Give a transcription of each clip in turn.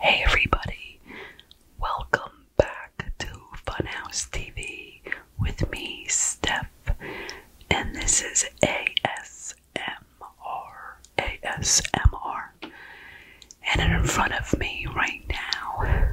Hey everybody, welcome back to Funhouse TV with me, Steph, and this is ASMR. ASMR. And in front of me right now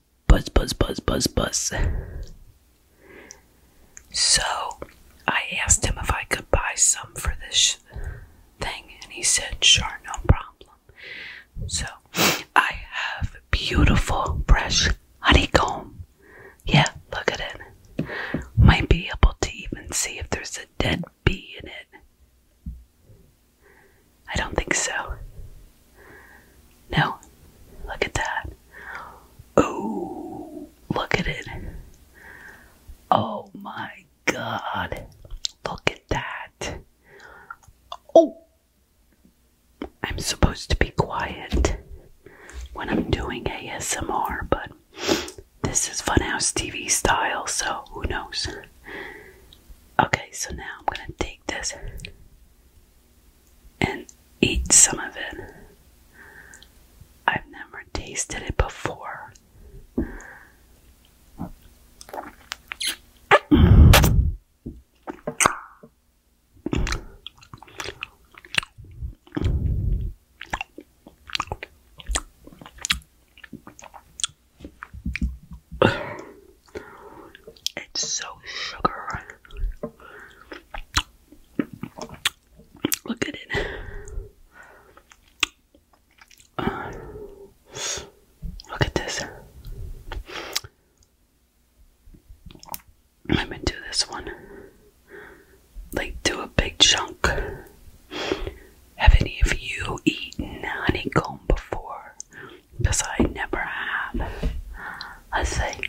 buzz, buzz, buzz, buzz, buzz, So I asked him if I could buy some for this thing, and he said, Sure, no problem. So I have beautiful, fresh honeycomb. Yeah, look at it. Might be able to even see if there's a dead bee in it. I don't think so. No. Look at that. Oh, look at it. Oh my god. Look at that. Oh. I'm supposed to be quiet when I'm doing ASMR, but this is Funhouse TV style, so who knows? Okay, so now I'm going to take this and eat some of it. I've never tasted it before. It's so sugar. Look at it. Uh, look at this. I'm to do this one. Like, do a big chunk have any of you eaten honeycomb before? Because I never have. Let's see.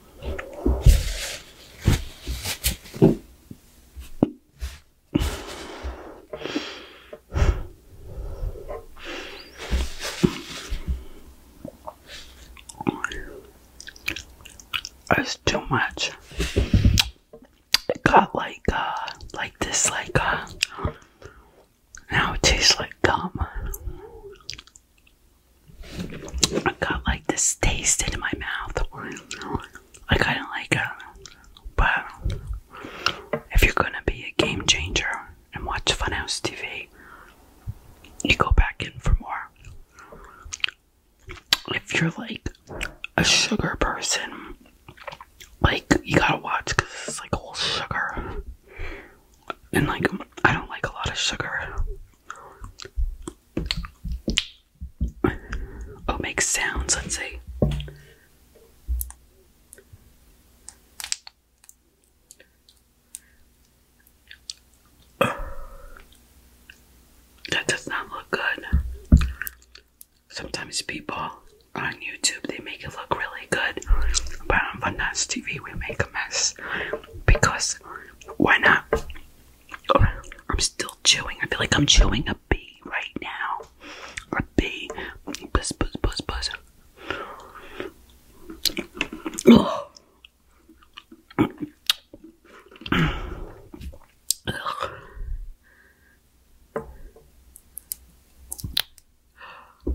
It's too much. It got like, uh, like this, like, uh, now it tastes like gum. I got like this taste in my mouth. I kind of like it, uh, but if you're gonna be a game changer and watch Fun House TV, you go back in for more. If you're like a sugar person, like you gotta watch because it's like all sugar and like I don't like a lot of sugar. Oh, make sounds, let's see. That does not look good. Sometimes people on YouTube they make it look really good, but on Vanas TV we make a mess because why not? Oh, I'm still chewing. I feel like I'm chewing a bee right now. A bee. Buzz, buzz, buzz, buzz.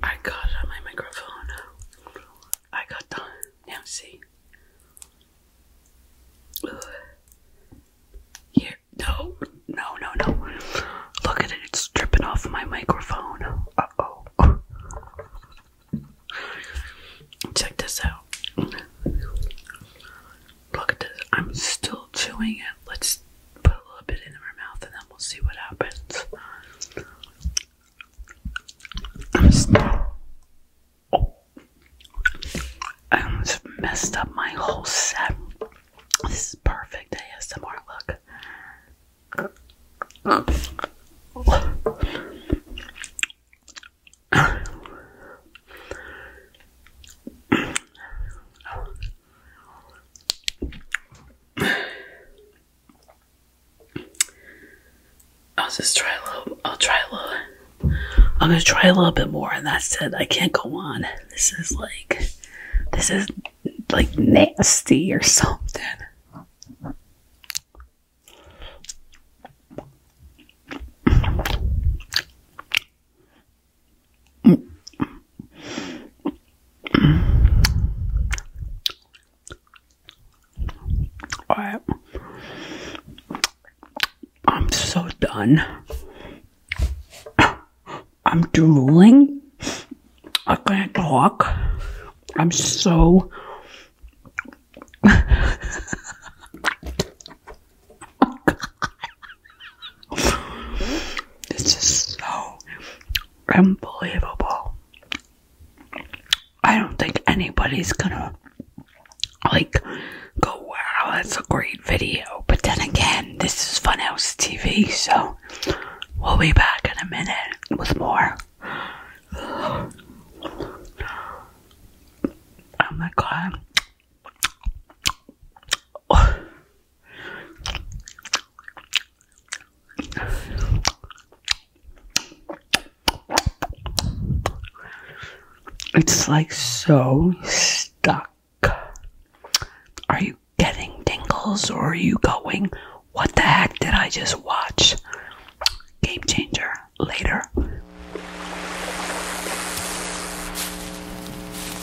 I got it on my microphone. I got done. Now see. Ugh. no, no, no, no. Look at it, it's dripping off my microphone. Uh oh. Check this out. Look at this. I'm still chewing it. Let's put a little bit in her mouth and then we'll see what happens. I almost messed up my whole set. This is perfect ASMR look. I'll just try a little. I'll try a little. I'm gonna try a little bit more, and that's it. I can't go on. This is like, this is like nasty or something right. I'm so done. I'm drooling. I can't talk. I'm so. Oh, this is so unbelievable. I don't think anybody's gonna like go, wow, that's a great video. But then again, this is Funhouse TV, so we'll be back in a minute with more. Oh my god. It's like so stuck. Are you getting tingles or are you going? What the heck did I just watch? Game changer later.